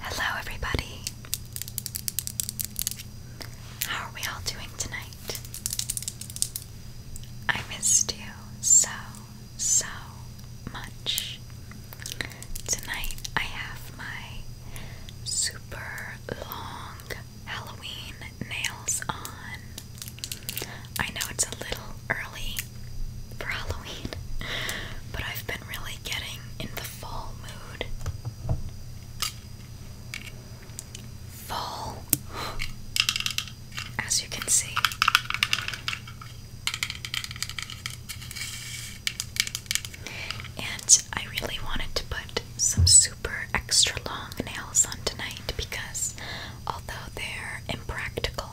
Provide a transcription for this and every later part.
Hello, everybody. How are we all doing tonight? I missed you so, so much. Tonight I have my super long Halloween nails on. I know it's a little early for Halloween, but I've been really getting in the fall mood. Fall, as you can see. And I really wanted to put some super extra long nails on tonight because although they're impractical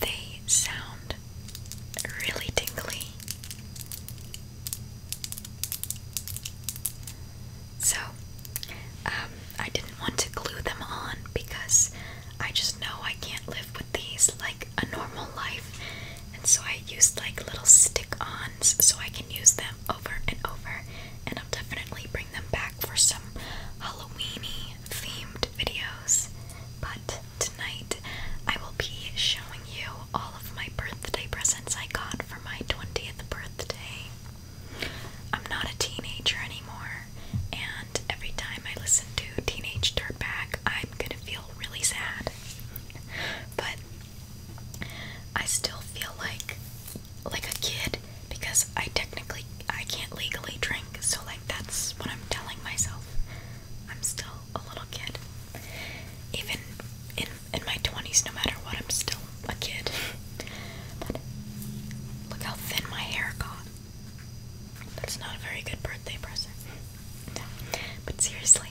they sound really tingly. So, um, I didn't want to glue them on because I just know I can't live with these like a normal life, and so I used like little stick ons so I can use them over and over. And I'll definitely bring them back for some Halloweeny themed videos, but tonight I will be showing you all of my birthday presents I got for my 20th birthday. I'm not a teenager anymore, and every time I listen to Teenage Dirtbag, I'm gonna feel really sad. But I still feel like like a kid because I technically I can't legally drink, so like that's what I'm telling myself. I'm still a little kid. Even in in my 20s no matter what, I'm still a kid. but look how thin my hair got. That's not a very good birthday present. But seriously,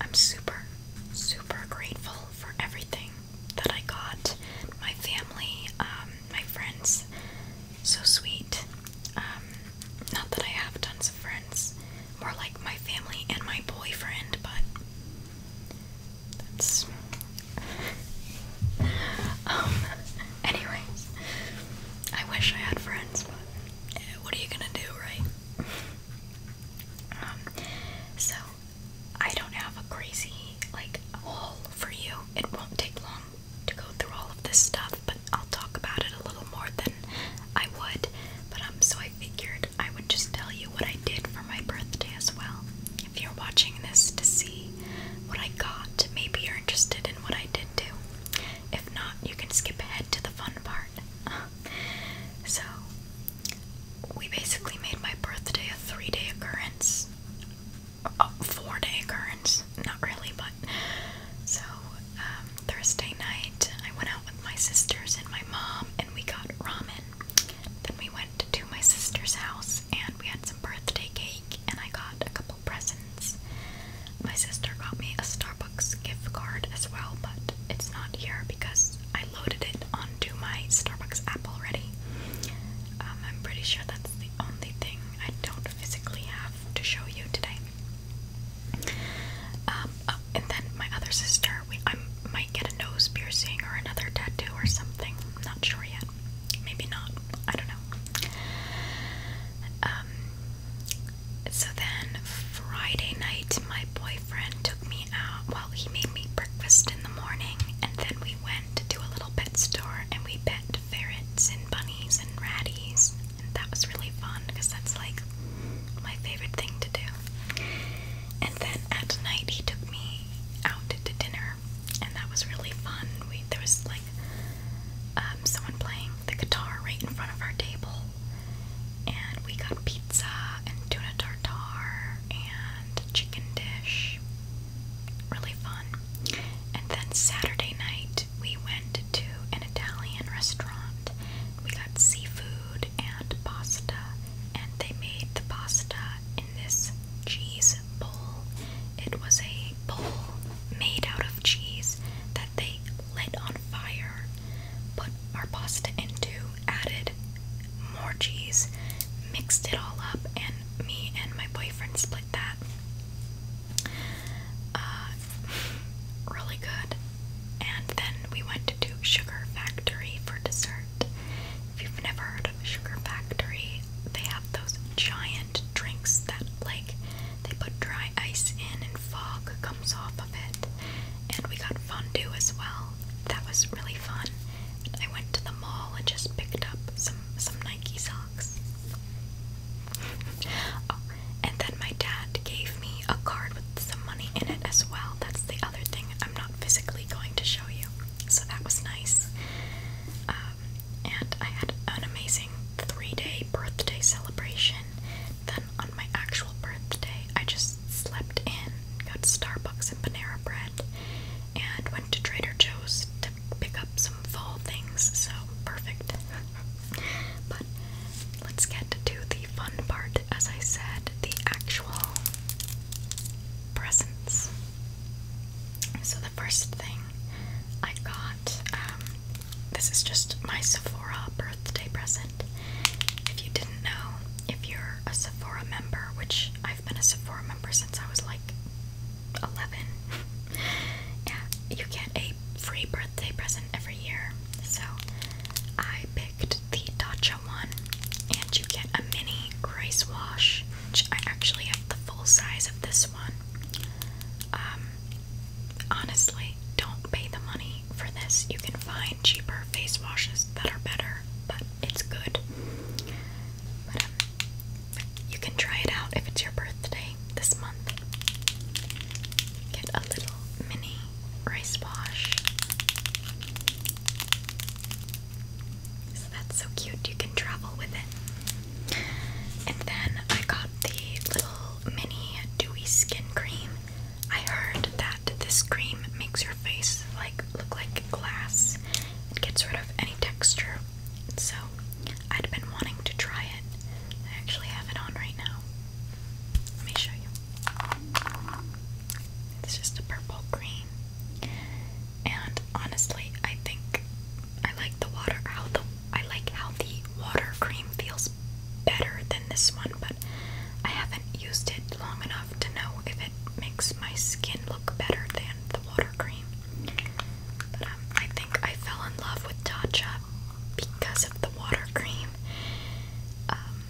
I'm super, super grateful for everything that I got. My family, um, my friends so sweet. Um, not that I have tons of friends, more like my family and my boyfriend, but that's. um, anyways, I wish I had friends, but eh, what are you gonna do, right? Um, so I don't have a crazy like haul for you it won't take long to go through all of this stuff, but I'll talk about it a little more than I would. But um, so I figured I would just tell you what I did for my birthday as well. If you're watching this to see what I got, maybe you're interested in what I did do. If not, you can skip ahead to the fun part. so, we basically made my birthday a three day occurrence four day occurrence. Not really, but. So, um, Thursday night, I went out with my sisters and my mom, and we got ramen. Then we went to my sister's house, and we had some birthday cake, and I got a couple presents. My sister got me a Starbucks gift card as well, but it's not here because I loaded it on onto my Starbucks app already. Um, I'm pretty sure that's the only thing I don't physically have to show you today. Um, oh, and then my other sister, we I might get a nose piercing or another tattoo or something. not sure yet. Maybe not. I don't know. Um, so then Friday night, my boyfriend took me out. Well, he made me breakfast in the morning, and then we we went to a little pet store and we pet ferrets and bunnies and ratties, and that was really fun because that's like my favorite thing to do. And then at night, he took me out to dinner, and that was really fun. We there was like um, someone playing the guitar right in front of our table, and we got pizza and tuna tartare and chicken dish really fun. And then Saturday night, we went to an Italian restaurant. We got seafood and pasta, and they made the pasta in this cheese bowl. It was a bowl made out of cheese that they lit on fire, put our pasta into, added more cheese, mixed it all up, and me and my boyfriend split that. Uh, really good. And then we went to do Sugar Factory for dessert. If you've never heard of Sugar Factory, they have those giant drinks that, like, they put dry ice in and fog comes off of it. And we got fondue as well. That was really fun. I went to the mall and just picked up some some Nike socks. oh, and then my dad gave me a card with some money in it as well. That's the other thing I'm not physically going to show you. So that was nice. Um, and I had an amazing three-day birthday celebration. Then on my actual birthday, I just slept in got Starbucks and Panera Bread, and went to Trader Joe's to pick up some fall things, so perfect. but let's get to the fun part, as I said, the actual presents. So, the first thing I got, um, this is just my Sephora birthday present. If you didn't know, if you're a Sephora member, which I I've been a Sephora member since I was like 11. yeah, you get a free birthday present every year. So I picked the Dacha one, and you get a mini rice wash, which I actually have the full size of this one. Um, honestly, don't pay the money for this. You can find cheaper face washes that are better, but it's good. Um, you can try it out if it's your birthday this month. Get a little mini rice wash. So that's so cute, you can travel with it. And then I got the little mini dewy skin cream. I heard that this cream makes your face like look like glass. It gets rid of any texture. So I'd been wanting to try it. I actually have it on right now. Let me show you. It's just a purple green. And honestly, I think I like the water how the I like how the water cream feels better than this one, but I haven't used it long enough to know if it it makes my skin look better than the water cream. Um, I think I fell in love with Tatcha because of the water cream. Um,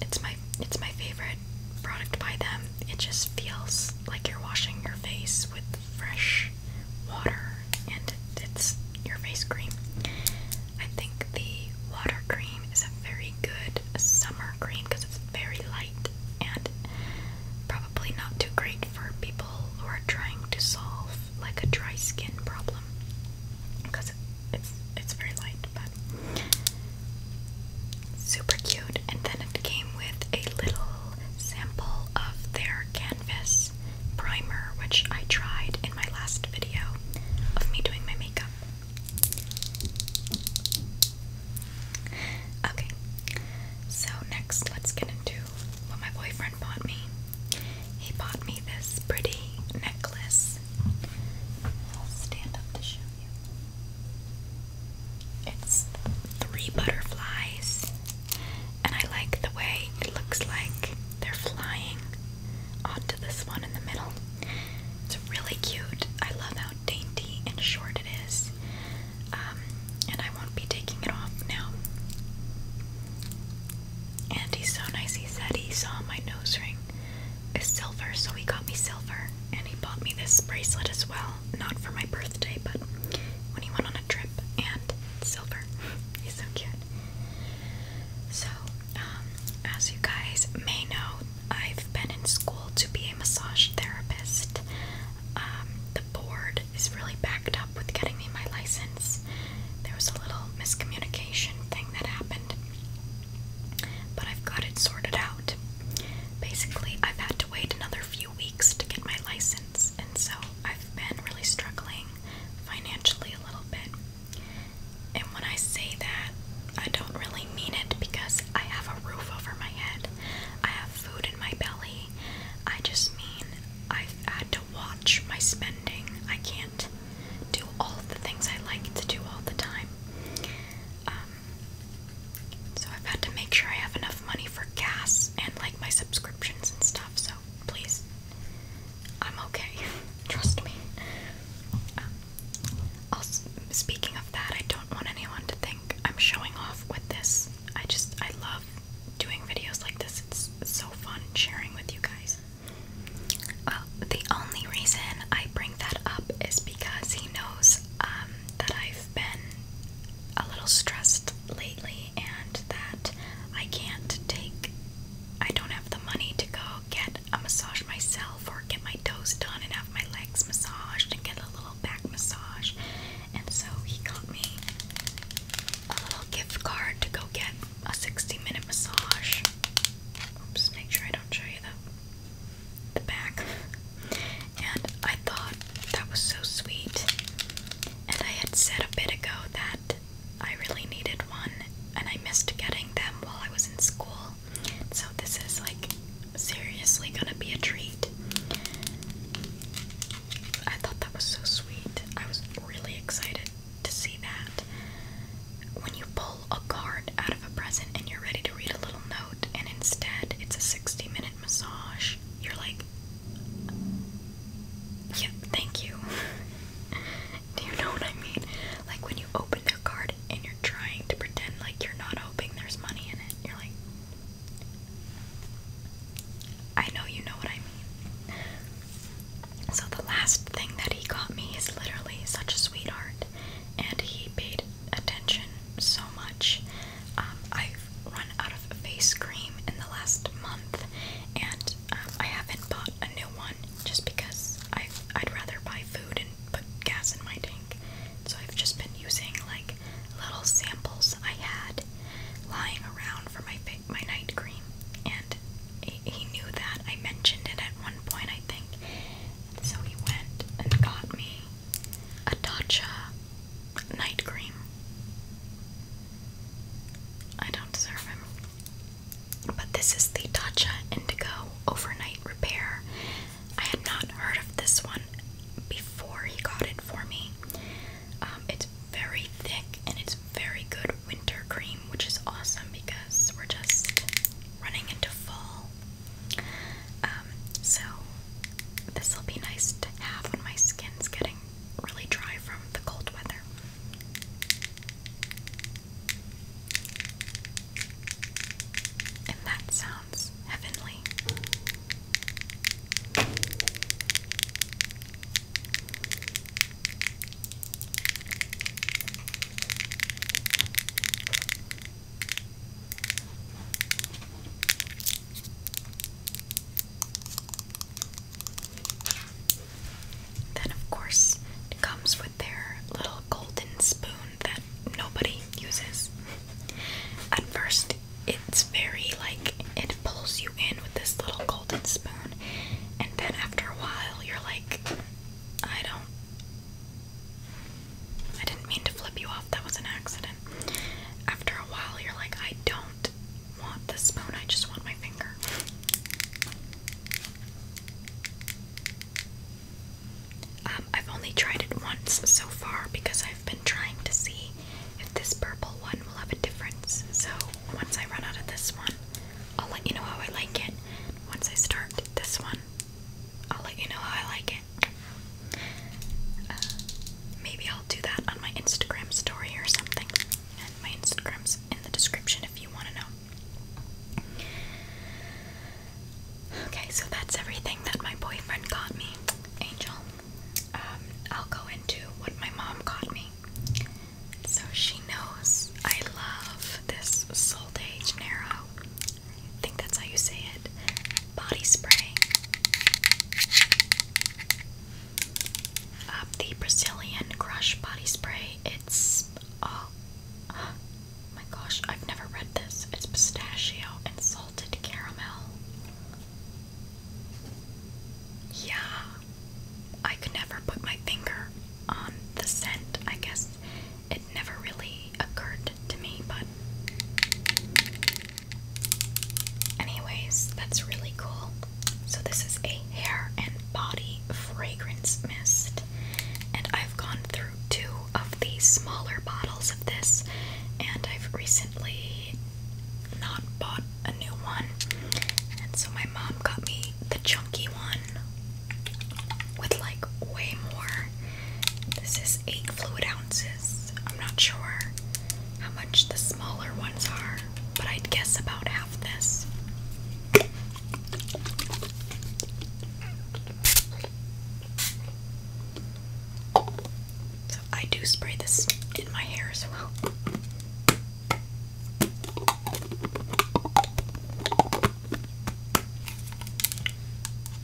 it's my it's my favorite product by them. It just feels like you're washing your face with fresh water, and it's your face cream. I think the water cream is a very good summer green because it's very light and probably not too great for people who are trying to solve like a dry skin problem because it's it's very light but super cute and then it came with a little sample of their canvas primer which I tried in my last video of me doing my makeup Okay, so next let's get into what my boyfriend bought me. He bought me this pretty necklace. I'll stand up to show you. It's three butterflies, and I like the way it looks like they're flying onto this one in the middle. It's really cute. I love how dainty and short it is. Um, and I won't be taking it off now. And he's so nice. He said he saw my nose ring is silver, so he got me silver. And he bought me this bracelet as well. Not for my birthday, but when he went on a trip. And silver. he's so cute. So um, as you guys may know, I've been in school to be a massage therapist. Um, the board is really backed up with getting me my license. There was a little miscommunication thing that happened, but I've got it sorted out. Basically, I've had to wait another few weeks to get my license, and so I've been really struggling financially a little bit. And when I say that, I don't really mean it because I have a roof over my head, I have food in my belly. I just mean I've had to watch my spending. I can't do all the things I like to do all the time. Um, so I've had to make sure I have enough money for gas and like my subscriptions and stuff. So please, I'm okay. Trust me. Um, also, speaking of that, I don't want anyone to think I'm showing off with this. I just, I love doing videos like this. It's so fun sharing with you guys. Well, the only reason I bring that up is because he knows um, that I've been a little stressed lately and that I can't take, I don't have the money to go get get a uh, massage myself or get my toes done and have my legs massaged and get a little back massage. And so he got me a little gift card to go get a 60 minute massage. Oops, make sure I don't show you the, the back. And I thought that was so sweet. And I had said a bit ago that I really needed one and I missed getting them while I was in school. So this is like seriously gonna be a treat. I thought that was so sweet. I was really excited to see that. When you pull a card out of a present and you're ready to read a little note, and instead it's a 60 minute massage, you're like, Yep, thank you. Do you know what I mean? Like when you you open their card and you're trying to pretend like you're not hoping there's money in it. You're like, I know you know what I mean. So the last thing that he got me is literally such a sweetheart, and he paid attention so much. Um, I've run out of face cream in the last month, and um, I haven't bought a new one just because I I'd rather buy food and put gas in my tank. So I've just been using like little samples I had lying around for my my night cream, and he, he knew that I mentioned it at one point, I think. So he went and got me a Dacha night cream. I don't deserve him. But this is the Tatcha Indigo Overnight Repair. I had not heard of this one before he got it for me. Um, it's very thick and it's very good winter cream, which is awesome because we're just running into fall. Um, so this will be nice to have when my skin's getting really dry from the cold weather. And that sounds heavenly. Then, of course, it comes with their little golden spoon that nobody uses. At first, it's very like it pulls you in with this little golden spoon, and then after a while, you're like, I don't. I didn't mean to flip you off, that was an accident. After a while, you're like, I don't want the spoon, I just want my finger. Um, I've only tried it once so far because I've been trying to see if this purple one will have a difference. So once I run out of this one, I'll let you know how I like it. Once I start this one, I'll let you know how I like it. Uh, maybe I'll do that on my Instagram story or something my Instagrams in the description if you want to know. Okay, so that's everything that my boyfriend got me, Angel. Um, I'll go into what my mom got me. So she knows I love this Sol de I think that's how you say it. Body spray. Um, the Brazilian Crush Body Spray. It's oh my gosh, I've never read this. It's pistachio and salted caramel. Yeah, I could never put my finger on the scent. I guess it never really occurred to me, but. Anyways, that's really cool. So this is a hair and body fragrance mist. And I've gone through two of these smaller bottles of this and I've recently not bought a new one. And so my mom got me the chunky one with like way more. This is 8 fluid ounces. I'm not sure how much the smaller ones are, but I'd guess about half. So I do spray this in my hair as well.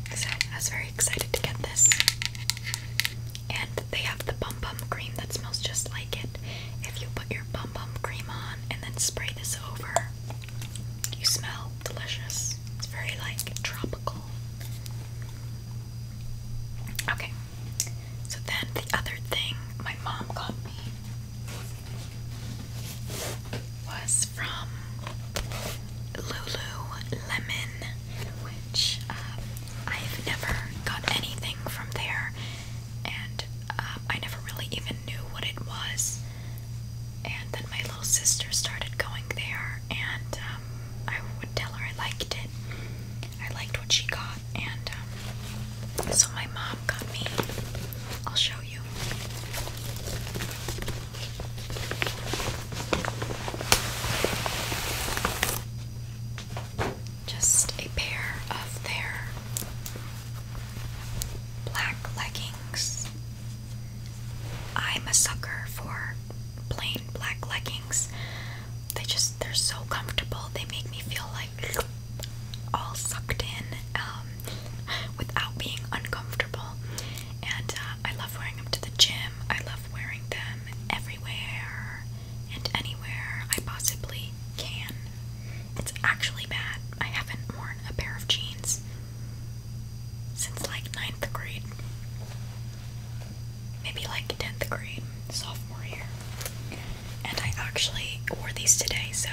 I was very excited to get this. And they have the Bum Bum Green that smells just like it if you put your bum bum cream on and then spray this over, you smell delicious. It's very like tropical. Okay, so then the other thing my mom got me was from Lululemon, which uh, I've never got anything from there and um, I never really even knew what it was. And then my little sister started going there, and um, I would tell her I liked it. I liked what she got, and um, so my mom got me. I'll show you just a pair of their black leggings. I'm a sucker for plain black leggings. They just, they're so comfortable. They make me feel like all sucked in um, without being uncomfortable. And uh, I love wearing them to the gym. I love wearing them everywhere and anywhere I possibly can. It's actually bad. I haven't worn a pair of jeans since like ninth grade. Maybe like 10th grade, sophomore year. And I actually wore these today, so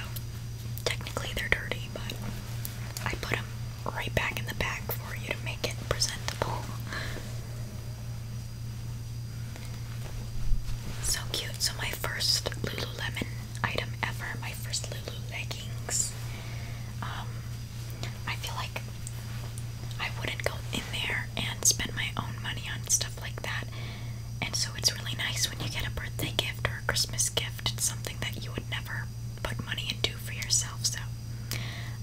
technically they're dirty, but I put them right back in the bag for you to make it presentable. So cute. So my first Lululemon item ever, my first Lulu leggings. Um, I feel like I wouldn't go in there and spend my own money on stuff like that. And so it's really nice when you get a birthday gift or a Christmas gift. It's something that you would never put money into for yourself. So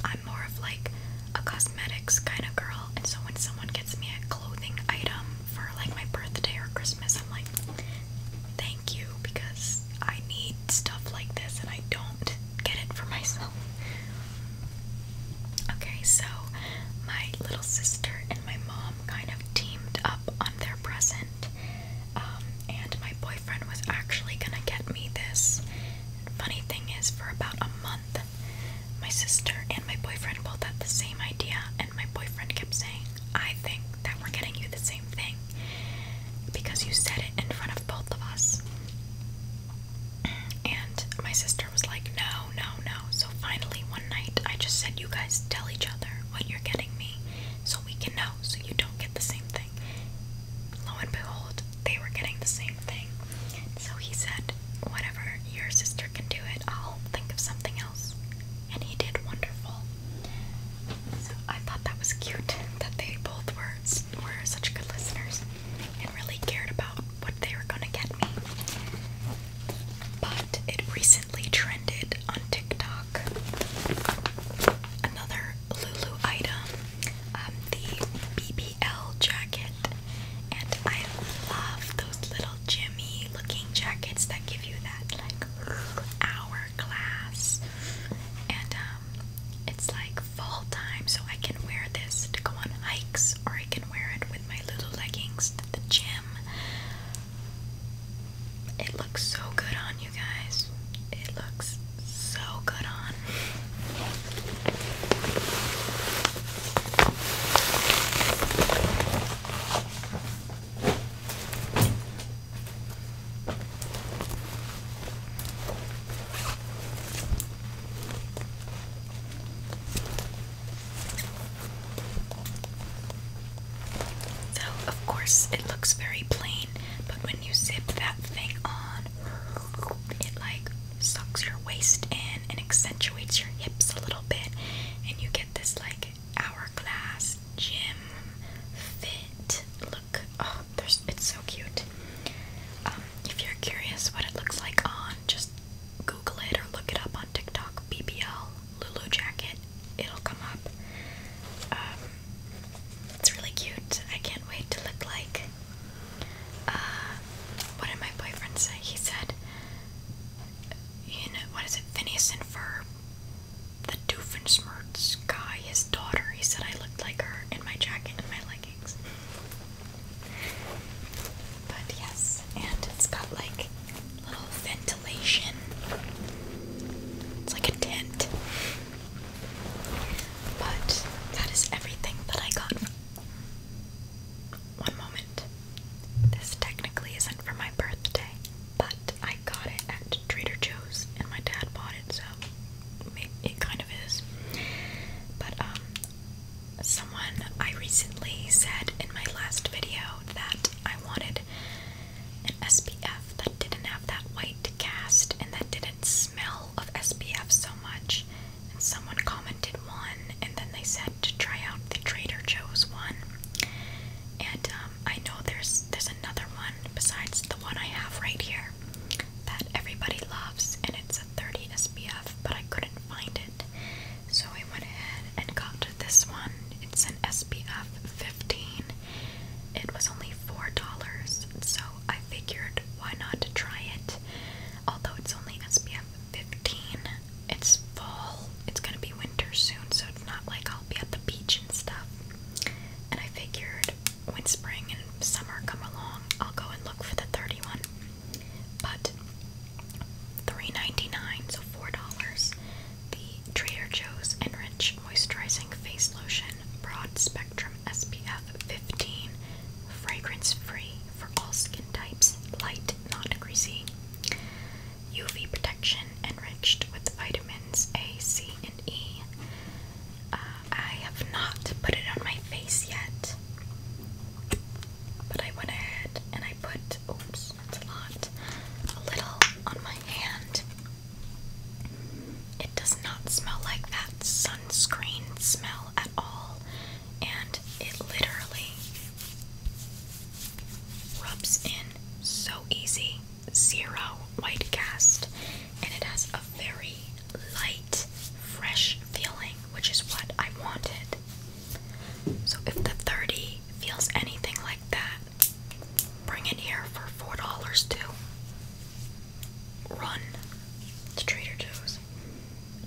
I'm more of like a cosmetics kind of girl, and so when someone gets me a clothing item for like my birthday or Christmas, I'm like, thank you because I need stuff like this and I don't get it for myself. Okay, so my little sister and my mom kind of teamed up on their present, um, and my boyfriend was actually gonna get me this. Funny thing is, for about a month my sister and my boyfriend both had the same idea, and my boyfriend kept saying, I think that we're getting you the same thing because you said it in front of both of us. And my sister was like, No, no, no. So finally, one night, I just said, You guys tell each other what you're getting me so we can know so you don't get the same thing. Lo and behold, they were getting the same thing. So he said, Whatever, your sister can do it, I'll think of something else. And he did wonderful. So I thought that was cute that they both were, were such good listeners and really cared about what they were going to get me. But it recently trended on TikTok. Another Lulu item, um, the BB AL jacket, and I love those little Jimmy looking jackets that give you that like hourglass. And um, it's like fall time, so I can wear this to go on hikes, or I can wear it with my little leggings to the gym. It looks so good on you guys. It looks so good on. So, of course, it looks very plain, but when you zip that thing on, it like sucks your waist in and accentuates your hips a little bit, and you get this like hourglass gym fit look. Oh, there's it's so cute. Um, if you're curious what it looks like on, just Google it or look it up on TikTok. BBL Lulu jacket, it'll come up. Um, it's really cute. I can't wait to look like uh, what did my boyfriend say? He said, you what is it, Phineas and Ferb, the Doofenshmirtz guy, his daughter, he said I looked like her in my jacket and my leggings. But yes, and it's got like little ventilation. It's like a tent. But that is everything that I got. One moment. This technically isn't for my birthday, but I got it at Trader Joe's and my dad bought it, so it kind of is. But, um, someone I recently said in my last video that I wanted an SPF that didn't have that white cast and that didn't smell of SPF so much, and someone commented one, and then they said to try out the Trader Joe's one. And um, I know there's there's another one besides the one I have right here that everybody loves, and it's a 30 SPF, but I couldn't find it, so I went ahead and got this one. It's an SPF 15. It was only four dollars, so I figured why not try it. Although it's only SPF 15, it's fall, it's gonna be winter soon, so it's not like I'll be at the beach and stuff. And I figured when spring and summer come along, I'll go and look for the 31. But $3.99, so $4, the Trader Joe's Enrich Moisturizing Face Lotion. Broad Spectrum SPF 15, fragrance free for all skin types, light, not greasy. UV protection enriched with vitamins A, C, and E. Uh, have not put it on my face yet, but I went ahead and I put, oops, that's a lot, a little on my hand. It does not smell like that sunscreen smell at all, and it literally rubs in so easy. Zero white cast, and it has a very light, fresh feeling, which is what I wanted. So, if the 30 feels anything like that, bring it here for $4 too. Run to Trader Joe's.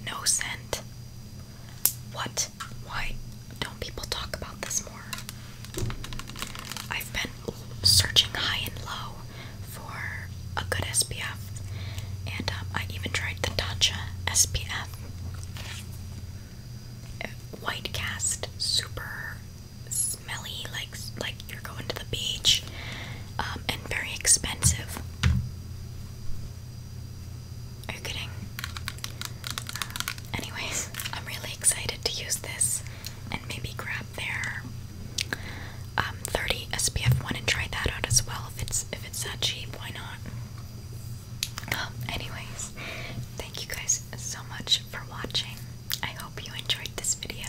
No scent. What? Why don't people talk about this more? I've been searching high and low for a good SPF, and um, I even tried the Tatcha SPF. White cast, super smelly, like like you're going to the beach, um, and very expensive. Are you kidding? Uh, anyways, I'm really excited to use this and maybe grab their um, 30 SPF one and try that out as well. If it's if it's that cheap, why not? Um, anyways, thank you guys so much for watching. I hope you enjoyed this video.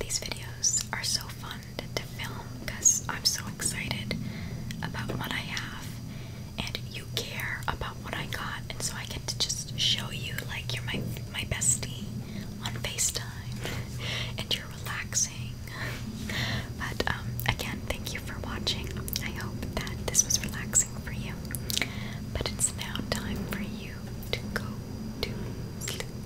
These videos are so fun to film because I'm so excited about what I have and you care about what I got and so I get to just show you like you're my my bestie on FaceTime and you're relaxing. But um, again, thank you for watching. I hope that this was relaxing for you. But it's now time for you to go to sleep.